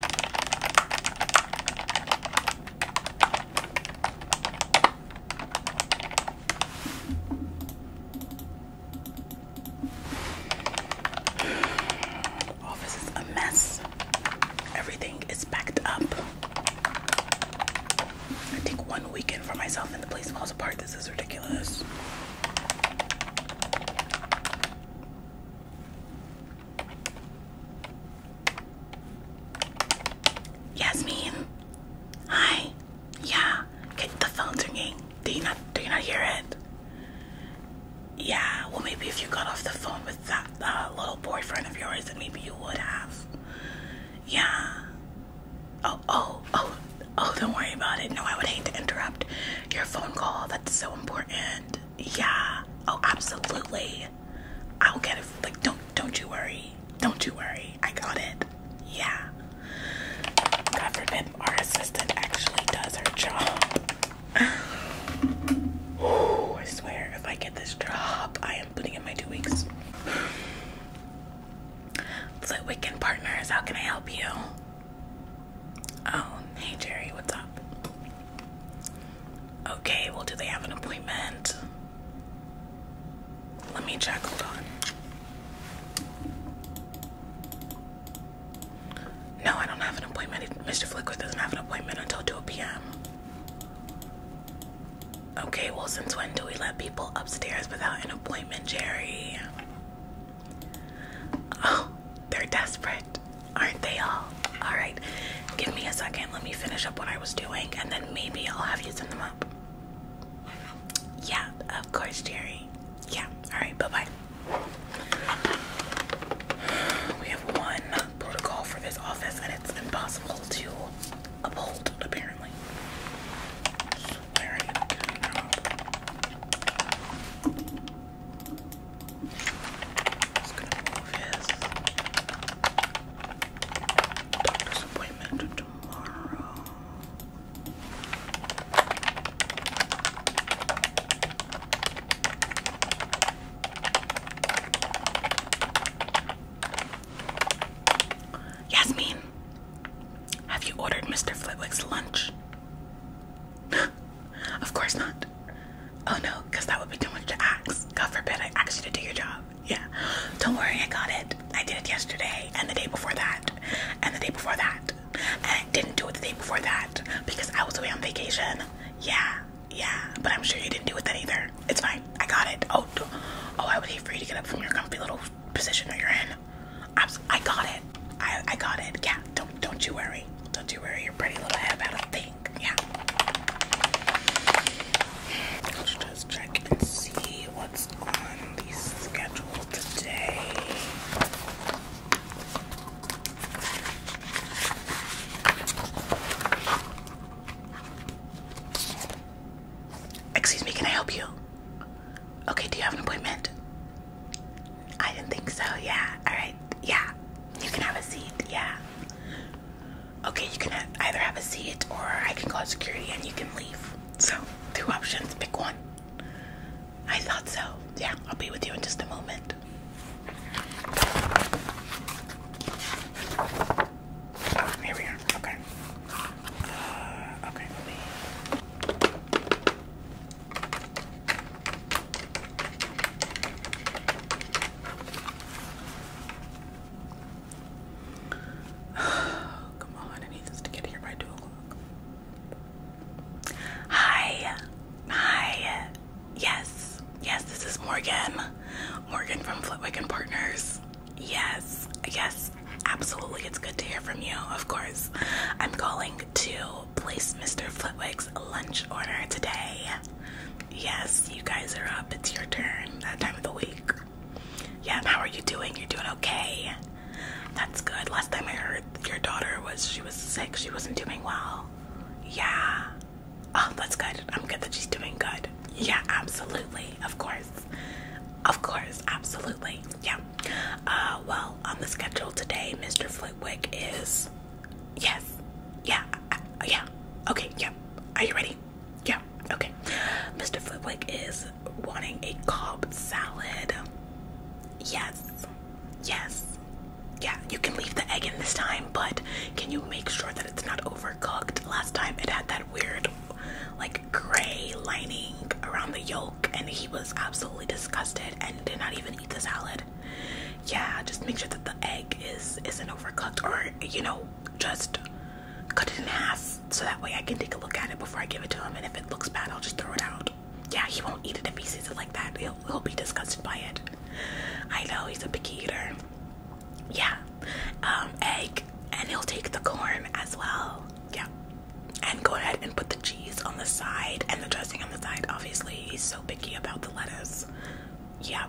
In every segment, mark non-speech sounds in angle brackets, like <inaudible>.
Office is a mess. Everything is packed up. I take one weekend for myself and the place falls apart. This is ridiculous. Yasmin, hi. Yeah, the phone's ringing. Do you not? Do you not hear it? Yeah. Well, maybe if you got off the phone with that little boyfriend of yours, then maybe you would have. Yeah. Oh, oh, oh, oh! Don't worry about it. No, I would hate to interrupt your phone call. That's so important yeah. Oh, absolutely. I'll get it. Like, don't don't you worry. Don't you worry. I got it. Yeah. God forbid our assistant actually does her job. oh, I swear, if I get this drop, I am putting in my two weeks. Flitwick and Partners, how can I help you? Oh, hey Jerry, what's up? Okay, well, do they have an appointment? Let me check, hold on. No, I don't have an appointment. Mr. Flicker doesn't have an appointment until 2 p.m. Okay, well, since when do we let people upstairs without an appointment, Jerry? Oh, they're desperate, aren't they all? Alright, give me a second. Let me finish up what I was doing and then maybe I'll have you send them up. Yeah, of course, Jerry. Yeah, alright, bye bye. <sighs> We have one protocol for this office and it's impossible to uphold, apparently. Just gonna move his doctor's appointment tomorrow. Yasmin, have you ordered Mr. Flitwick's lunch? <laughs> of course not. Oh no, because that would be too much to ask. God forbid I asked you to do your job. Yeah. Don't worry, I got it. I did it yesterday and the day before that and the day before that. And I didn't do it the day before that because I was away on vacation. Yeah, yeah. But I'm sure you didn't do it then either. It's fine. I got it. Oh, oh, I would hate for you to get up from your comfy little position that you're in. i I got it. I, I got it. Yeah, don't don't you worry. Don't you worry your pretty little head about a thing. Yeah. Let's just check and see what's on the schedule today. Excuse me, can I help you? Okay, do you have an appointment? I didn't think so. Yeah. All right. Yeah. You can have a seat, yeah. Okay, you can either have a seat or I can call security and you can leave. So, two options, pick one. I thought so. Yeah, I'll be with you in just a moment. Oh, here we are. Okay. Uh, okay, <sighs> Come on, I need this to get here by 2 o'clock. Hi. Hi. Yes. Yes, this is Morgan. Morgan from Flitwick and Partners. Yes. Yes. Absolutely. It's good to hear from you, of course. I'm calling to place Mr. Flitwick's lunch order today. Yes, you guys are up. It's your turn that time of the week. Yeah, how are you doing? You're doing okay. That's good. Last time I heard your daughter was she was sick. She wasn't doing well. Yeah. Oh, that's good. I'm good that she's doing good. Yeah, absolutely. Of course. Of course, absolutely. Yeah. Uh well, on the schedule today, Mr. Flitwick is Yes. Yeah. yeah. Okay. Yeah. Are you ready? Yeah. Okay. Mr. Flipwick is wanting a cob salad. Yes. Yes. Yeah. You can leave the egg in this time, but can you make sure that it's not overcooked? Last time it had that weird, like, gray lining around the yolk, and he was absolutely disgusted and did not even eat the salad. Yeah, just make sure that the egg is isn't overcooked, or you know, just cut it in half so that way I can take a look at it before I give it to him. And if it looks bad, I'll just throw it out. Yeah, he won't eat it if he sees it like that. He'll he'll be disgusted by it. I know he's a picky eater. Yeah, um, egg, and he'll take the corn as well. Yeah, and go ahead and put the cheese on the side and the dressing on the side. Obviously, he's so picky about the lettuce. Yeah.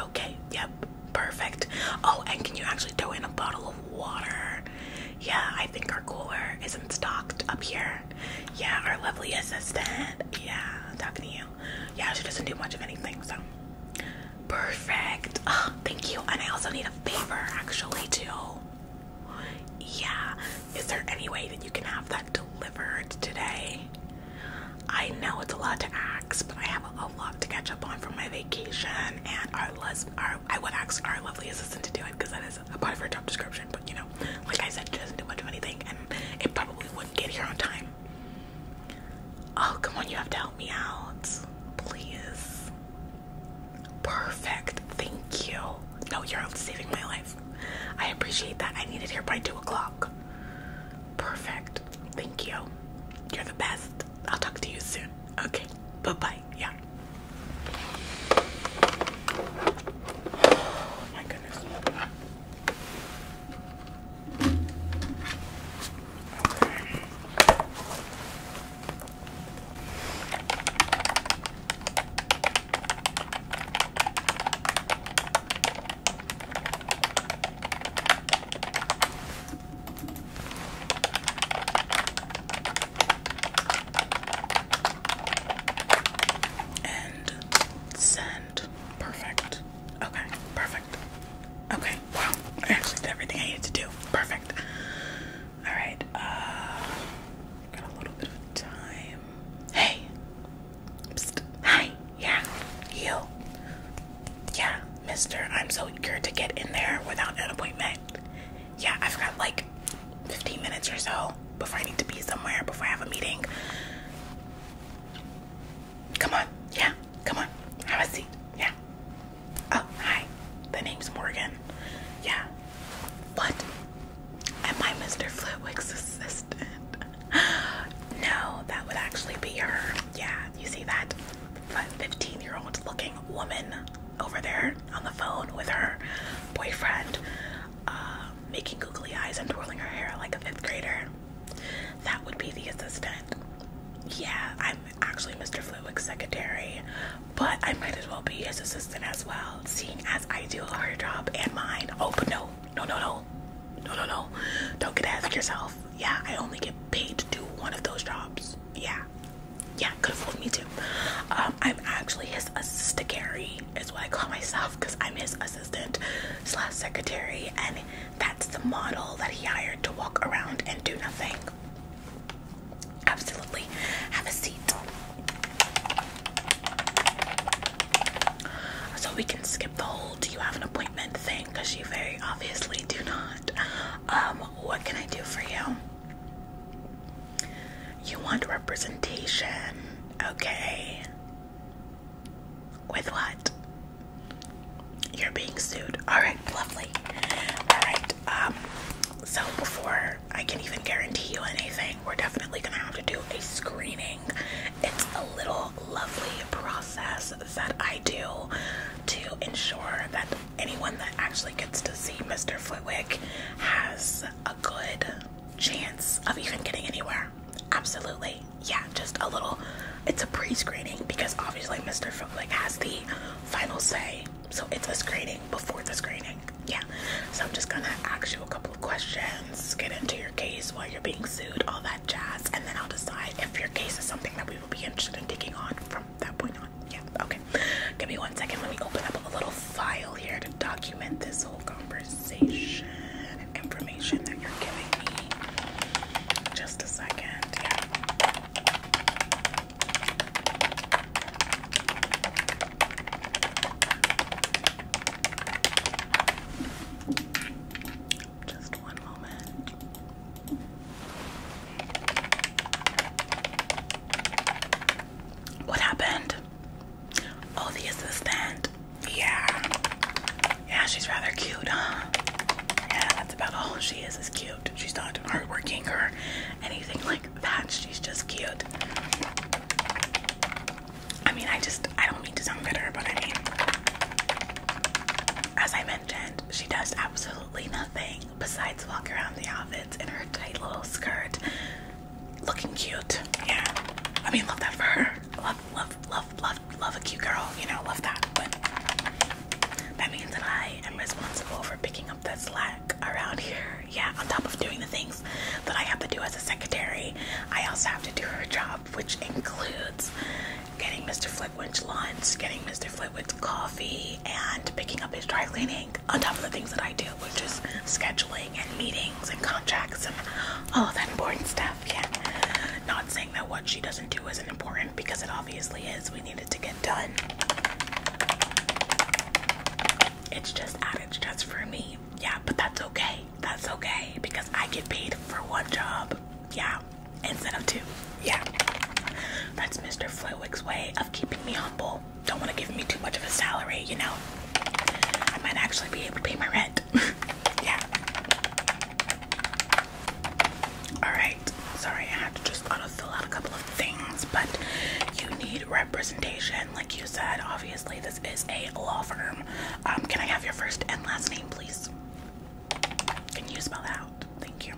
Okay, yep, perfect. Oh, and can you actually throw in a bottle of water? Yeah, I think our cooler isn't stocked up here. Yeah, our lovely assistant. Yeah, talking to you. Yeah, she doesn't do much of anything, so perfect. Oh, thank you. And I also need a favor actually too. Yeah. Is there any way that you can have that delivered today. I know it's a lot to ask, but I have a lot to catch up on from my vacation, and our, les our I would ask our lovely assistant to do it because that is a part of her job description. But you know, like I said, she doesn't do much of anything, and it probably wouldn't get here on time. Oh, come on, you have to help me out, please. Perfect, thank you. No, you're saving my life. I appreciate that. I need it here by 2 o'clock. Perfect. Thank you. You're the best. I'll talk to you soon. Okay. Bye bye. Yeah. Oh my goodness. And send. Perfect. Okay, perfect. Okay, wow. actually did everything I needed to do. Perfect. Alright, uh, Got a little bit of time. Hey. Hi. Yeah. You. Yeah, mister. I'm so eager to get in there without an appointment. Yeah, I've got like 15 minutes or so before I need to be somewhere, before I have a meeting. Come on. Yeah. Come on. Have a seat. Yeah. Oh, hi. The name's Morgan. Yeah. What? Am I Mr. Flitwick's assistant? <gasps> No, that would actually be her. Yeah, you see that 15 year old looking woman over there on the phone with her boyfriend, uh, making googly eyes and twirling her hair like a fifth grader. That would be the assistant. Yeah, I'm actually Mr. Flitwick's secretary, but I might as well be his assistant as well, seeing as I do her job and mine. Oh, but no, no, no, no. No, no, no. Don't get ahead of yourself. Yeah, I only get paid to do one of those jobs. Yeah. Yeah, could afford me too. Um, I'm actually his assistantary, is what I call myself, because I'm his assistant slash secretary, and that's the model that he hired to walk around and do nothing. Absolutely. Have a seat. So we can skip the whole do you have an appointment thing because you very obviously do not. Um, what can I do for you? You want representation, okay? With what? You're being sued. Alright, lovely. Alright, um, so before I can even guarantee you anything, we're definitely gonna have to do a screening. It's a little lovely process that I do to ensure that anyone that actually gets to see Mr. Flitwick has a good chance of even getting anywhere. Absolutely. Yeah, just a little. It's a pre screening because obviously Mr. Flitwick has the final say. So it's a screening before the screening yeah so i'm just gonna ask you a couple of questions get into your case while you're being sued all that jazz and then i'll decide if your case is something that we will be interested in taking on from that point on yeah okay give me one second let me open up a little file here to document this whole conversation information that you're giving me just a second yeah just one moment. What happened? Oh, the assistant. Yeah. Yeah, she's rather cute, huh? Yeah, that's about all she is, is cute. She's not hardworking or anything like that. She's just cute. I mean, I just, I don't mean to sound bitter, but I mean, as I mentioned, she does absolutely nothing besides walk around the outfits in her tight little skirt, looking cute. Yeah, I mean, love that for her. Love, love, love, love, love a cute girl. You know, love that. But that means that I am responsible for picking up that slack around here. Yeah, on top of doing the thing that I have to do as a secretary. I also have to do her job, which includes getting Mr. Flitwick's lunch, getting Mr. Flitwick's coffee, and picking up his dry cleaning, on top of the things that I do, which is scheduling and meetings and contracts and all that important stuff. Yeah. Not saying that what she doesn't do isn't important because it obviously is. We need it to get done. It's just added stress for me. Yeah, but that's okay. That's okay because I get paid for one job. Yeah, instead of two. Yeah. That's Mr. Flewick's way of keeping me humble. Don't want to give me too much of a salary, you know? I might actually be able to pay my rent. <laughs> yeah. Alright. Sorry, I had to just auto fill out a couple of things, but you need representation. Like you said, obviously, this is a law firm. Um, can I have your first and last name, please? Can you spell that out? Thank you.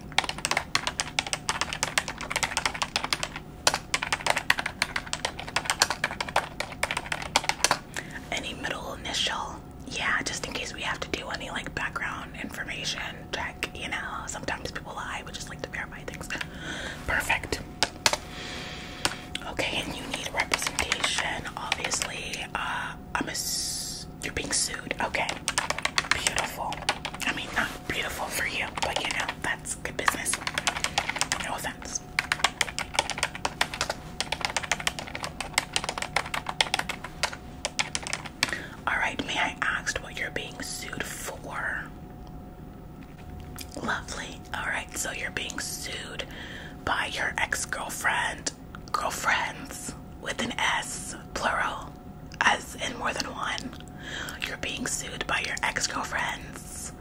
Any middle initial? Yeah, just in case we have to do any like background information check, you know. Sometimes people lie, we just like to verify things. Perfect. Okay, and you need representation, obviously. Uh, I'm a you're being sued. Okay, beautiful. I mean, not beautiful for you, but you know that's good business. No offense. All right, may I ask what you're being sued for? Lovely. All right, so you're being sued by your ex girlfriend, girlfriends with an S, plural, as in more than one. You're being sued by your ex girlfriends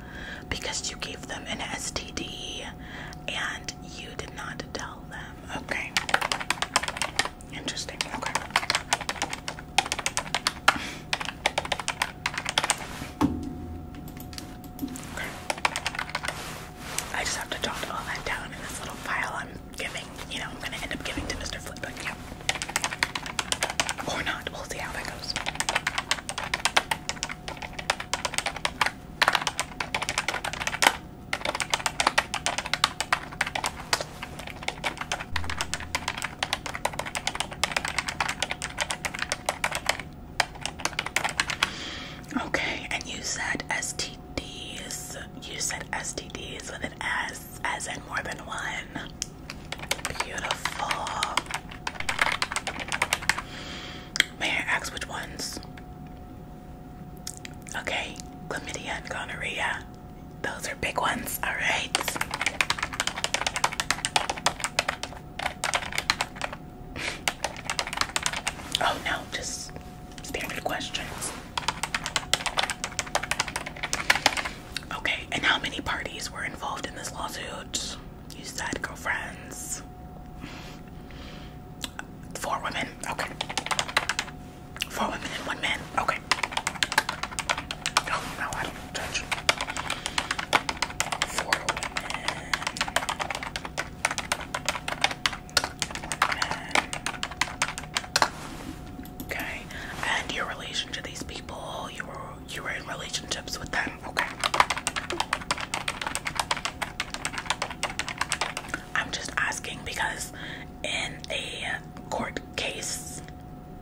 because you gave them an STD and you did not tell them. Okay. Interesting. Okay. I just have to jot all that down in this little file I'm giving. You know, I'm going to end up giving to Mr. Flip, but Or not. We'll see how that goes. Okay, and you said STDs. You said STDs with an S, as and more than one. Beautiful. May I ask which ones? Okay, chlamydia and gonorrhea. Those are big ones, all right. <laughs> oh no, just standard questions. Okay, and how many parties were involved in this lawsuit? You said girlfriends. Four women, okay. Four women and one man, okay. Oh no, touch. Four oh Okay, and your relation to these people, you were you were in relationships with them. Okay. I'm just asking because in a court case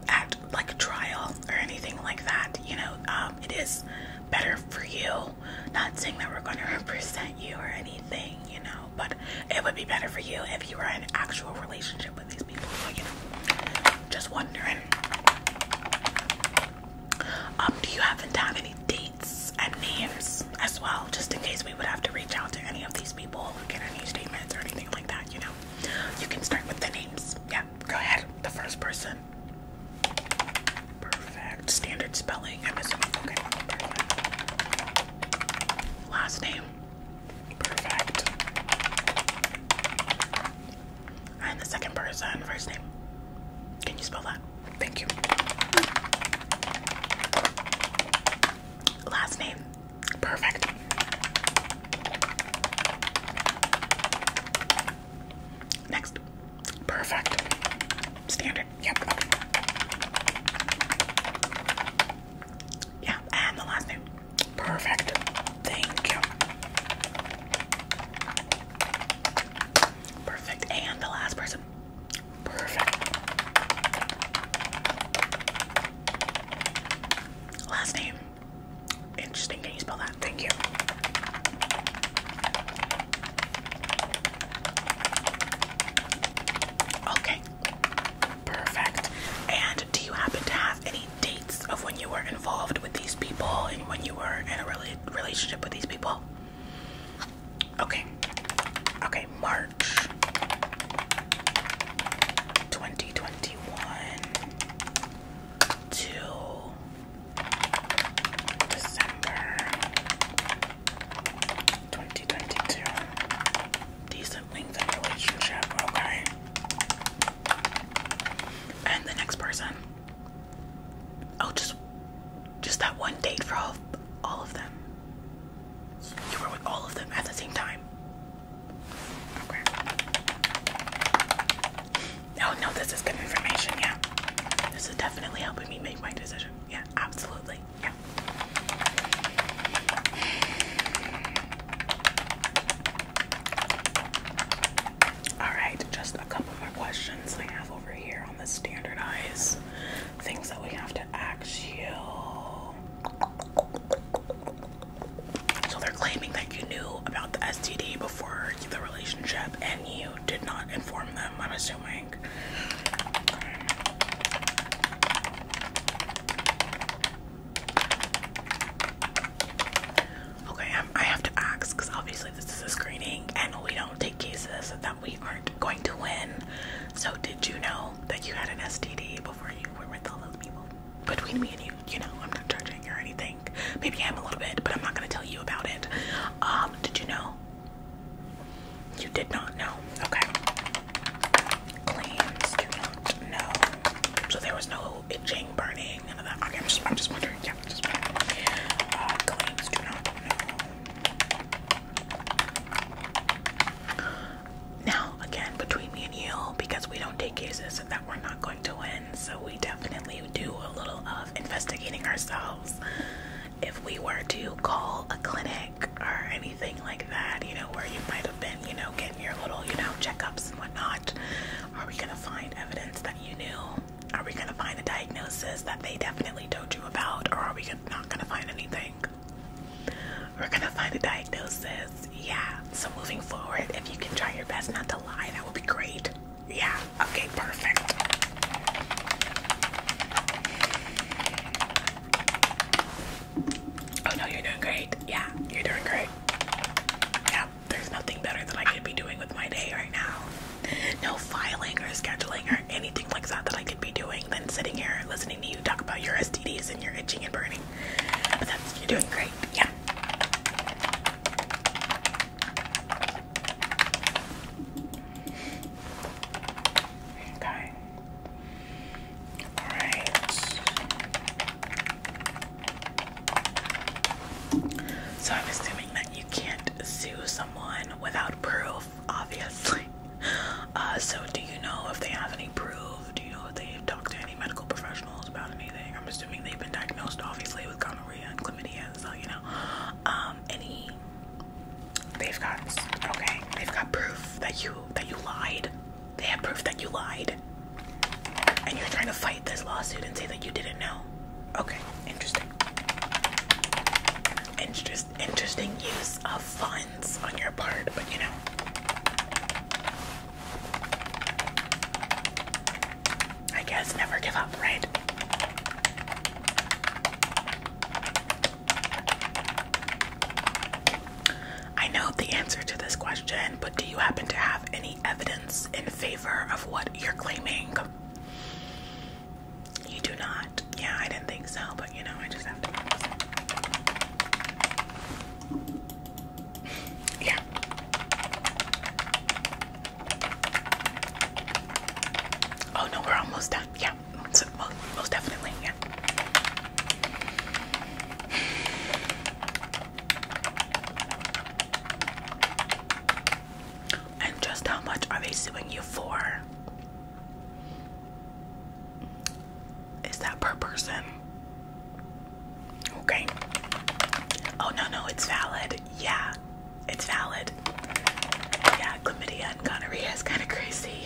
at like a trial or anything like that, you know, um, it is better for you. Not saying that we're going to represent you or anything, you know, but it would be better for you if you were in actual relationship with these people. just wondering. Um, do you happen to have any dates and names as well, just in case we would have to reach out to any of these people or any statements or anything like that, you know? You can start with the names, yeah? go ahead. The first person. Perfect. Standard spelling. I'm Okay, Last name. Perfect. And the second person, first name. Can you spell that? Thank you. Last name. Perfect. Next. Perfect. Standard. Yep. Yeah, and the last name. Perfect. Thank you. Perfect. And the last person. Perfect. Last name. Interesting. Can you spell that? Thank you. Okay. Perfect. And do you happen to have any dates of when you were involved with these people and when you were in a relationship with these people? Okay. Okay, March 2021 to December 2022. Decent length of relationship, okay. And the next person. Oh, just just that one date for all, all of them. You were with all of them at the same time. Okay. Oh no, this is good information. Yeah, this is definitely helping me make my decision. Yeah, absolutely. Yeah. All right, just a couple more questions I have over here on the standardized things that we have to ask you. So they're claiming that you knew about the STD for the relationship and you did not inform them, I'm assuming. Okay. Um, I have to ask because obviously this is a screening and we don't take cases that we aren't going to win. So, did you know that you had an STD before you were with all those people? Between me and you, you know, I'm not judging or anything. Maybe I am a little bit, but I'm not gonna tell you about it. Um, did you know? You did not know. Okay. Claims do not know. So there was no itching, burning, none of that. Okay, I'm just, I'm just wondering. Yeah, I'm just wondering. Uh, claims do not know. Now, again, between me and you, because we don't take cases, that we're not going to win, so we definitely do a little of investigating ourselves. If we were to call a clinic or anything like that, you know, where you might have been, you know, getting your little, you know, checkups and whatnot, are we gonna find evidence that you knew? Are we gonna find a diagnosis that they definitely told you about, or are we not gonna find anything? We're gonna find a diagnosis, yeah. So, moving forward, if you can try your best not to lie, that would be great. Yeah, okay, perfect. Oh no, you're doing great. Yeah, you're doing great. Yeah, there's nothing better that I could be doing with my day right now. No filing or scheduling or anything like that that I could be doing than sitting here listening to you talk about your STDs and your itching and burning. But that's, you're doing great. Yeah. Okay. All right. So I'm assuming that you can't sue someone without proof, obviously. <laughs> Uh, so do you know if they have any proof? Do you know if they've talked to any medical professionals about anything? I'm assuming they've been diagnosed, obviously, with common and so you know, um, any they've got okay, they've got proof that you that you lied. They have proof that you lied. And you're trying to fight this lawsuit and say that you didn't know. Okay, interesting. Interest, interesting use of funds on your part, but you know. I guess never give up, right? I know the answer to this question, but do you happen to have any evidence in favor of what you're claiming? You do not. Yeah, I didn't think so, but you know, I just have to. yeah. Oh no, we're almost done. Yeah, most, definitely. Yeah. And just how much are they suing you for? Is that per person? Okay. Oh no no, it's valid. Yeah, it's valid. Yeah, chlamydia and gonorrhea is kind of crazy.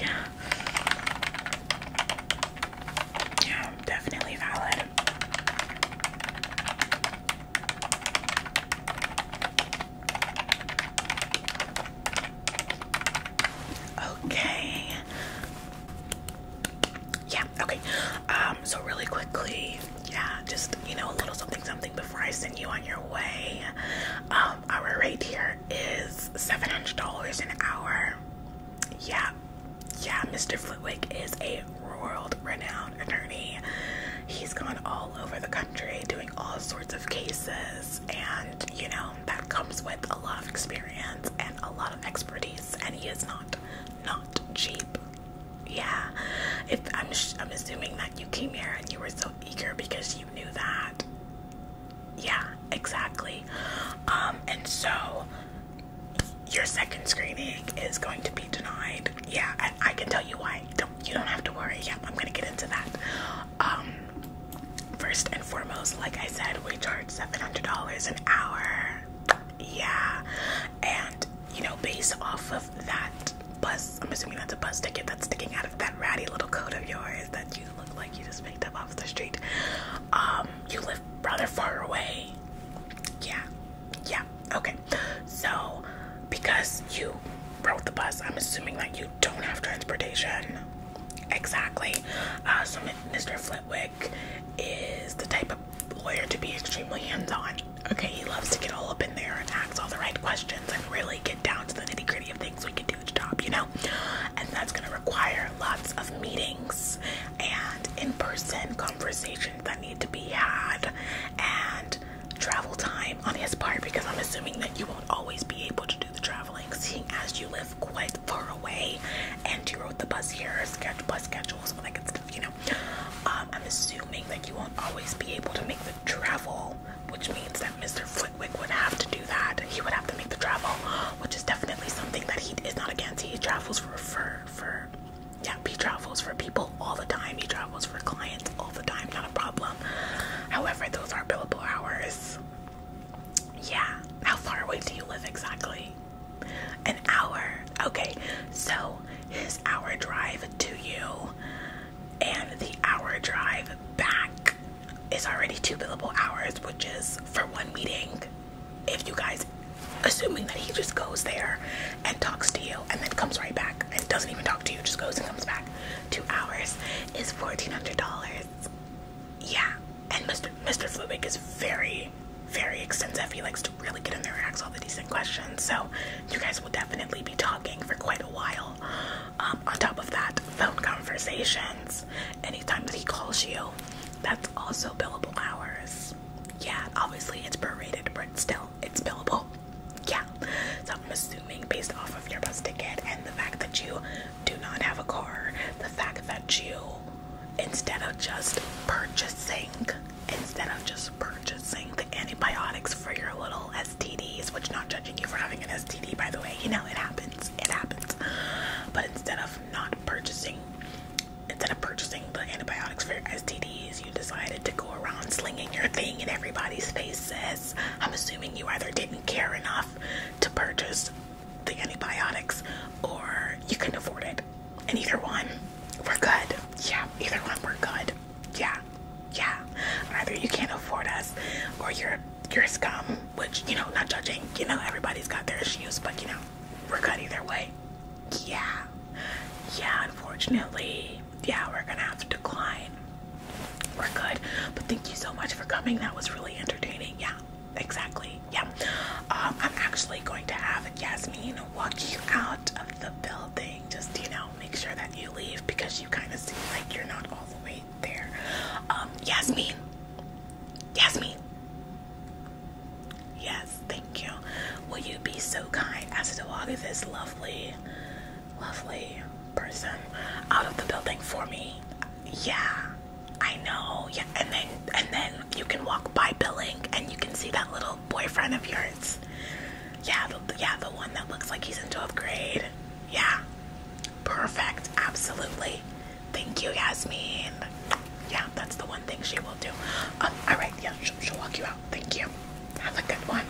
Yeah, definitely valid. Okay. Yeah, okay. Um, so really quickly, yeah, just you know, a little something something before I send you on your way. Um, our rate here is seven hundred dollars an hour. Yeah, yeah, Mr. Flitwick is a world renowned attorney. He's gone all over the country doing all sorts of cases, and you know, that comes with a lot of experience and a lot of expertise, and he is not not cheap yeah if I'm, I'm assuming that you came here and you were so eager because you knew that yeah exactly um and so your second screening is going to be denied yeah and i can tell you why don't you don't have to worry Yep, i'm gonna get into that um first and foremost like i said we charge $700 an hour yeah and you know, based off of that bus, I'm assuming that's a bus ticket that's sticking out of that ratty little coat of yours that you look like you just picked up off the street. Um, you live rather far away. Yeah, yeah, okay. So, because you rode the bus, I'm assuming that you don't have transportation. Exactly. Uh, so, Mr. Flitwick is the type lawyer to be extremely hands-on. Okay, he loves to get all up in there and ask all the right questions and really get down to the nitty-gritty of things we can do to job, you know? And that's gonna require lots of meetings and in-person conversations that need to be had and travel time on his part because I'm assuming that you won't always be able to do the traveling seeing as you live quite far away and you rode the bus here, sketch bus schedules so like it's you know um, I'm assuming that you won't always be able to make the travel which means that Mr. Flitwick would have to do that he would have to make the travel which is definitely something that he is not against he travels for for yeah he travels for people all the time he travels for clients all the time not a problem however those are billable hours yeah how far away do you live exactly an hour. Okay, so his hour drive to you and the hour drive back is already two billable hours, which is for one meeting. If you guys, assuming that he just goes there and talks to you and then comes right back and doesn't even talk to you, just goes and comes back, two hours is $1,400. Yeah, and Mr. Mr. Flubig is very very, very extensive. He likes to really get in there and ask all the decent questions. So you guys will definitely be talking for quite a while. Um, on top of that, phone conversations. Anytime that he calls you, that's also billable hours. Yeah, obviously it's prorated, but still, it's billable. Yeah. So I'm assuming based off of your bus ticket and the fact that you do not have a car, the fact that you, instead of just purchasing instead of just purchasing the antibiotics for your little STDs, which not judging you for having an STD, by the way, you know, it happens, it happens. But instead of not purchasing, instead of purchasing the antibiotics for your STDs, you decided to go around slinging your thing in everybody's faces. I'm assuming you either didn't care enough to purchase the antibiotics or you couldn't afford it. And either one, we're good. Yeah, either one, we're good. Yeah, yeah. Either you can't afford us, or you're you're scum. Which you know, not judging. You know, everybody's got their issues, but you know, we're good either way. Yeah, yeah. Unfortunately, yeah, we're gonna have to decline. We're good. But thank you so much for coming. That was really entertaining. Yeah, exactly. Yeah. Um, I'm actually going to have jasmine walk you out of the building. Just, you know, make sure that you leave because you kind of seem like you're not all the way there. Um, Yasmin. Yasmin. Yes, thank you. Will you be so kind as to walk this lovely, lovely person out of the building for me? Yeah, I know. Yeah, and then and then you can walk by Billing and you can see that little boyfriend of yours. Yeah, yeah, the one that looks like he's in 12th grade. Yeah, perfect, absolutely. Thank you, Yasmin. Yeah, that's the one thing she will do. Um, all right, yeah, she'll, she'll walk you out. Thank you. Have a good one.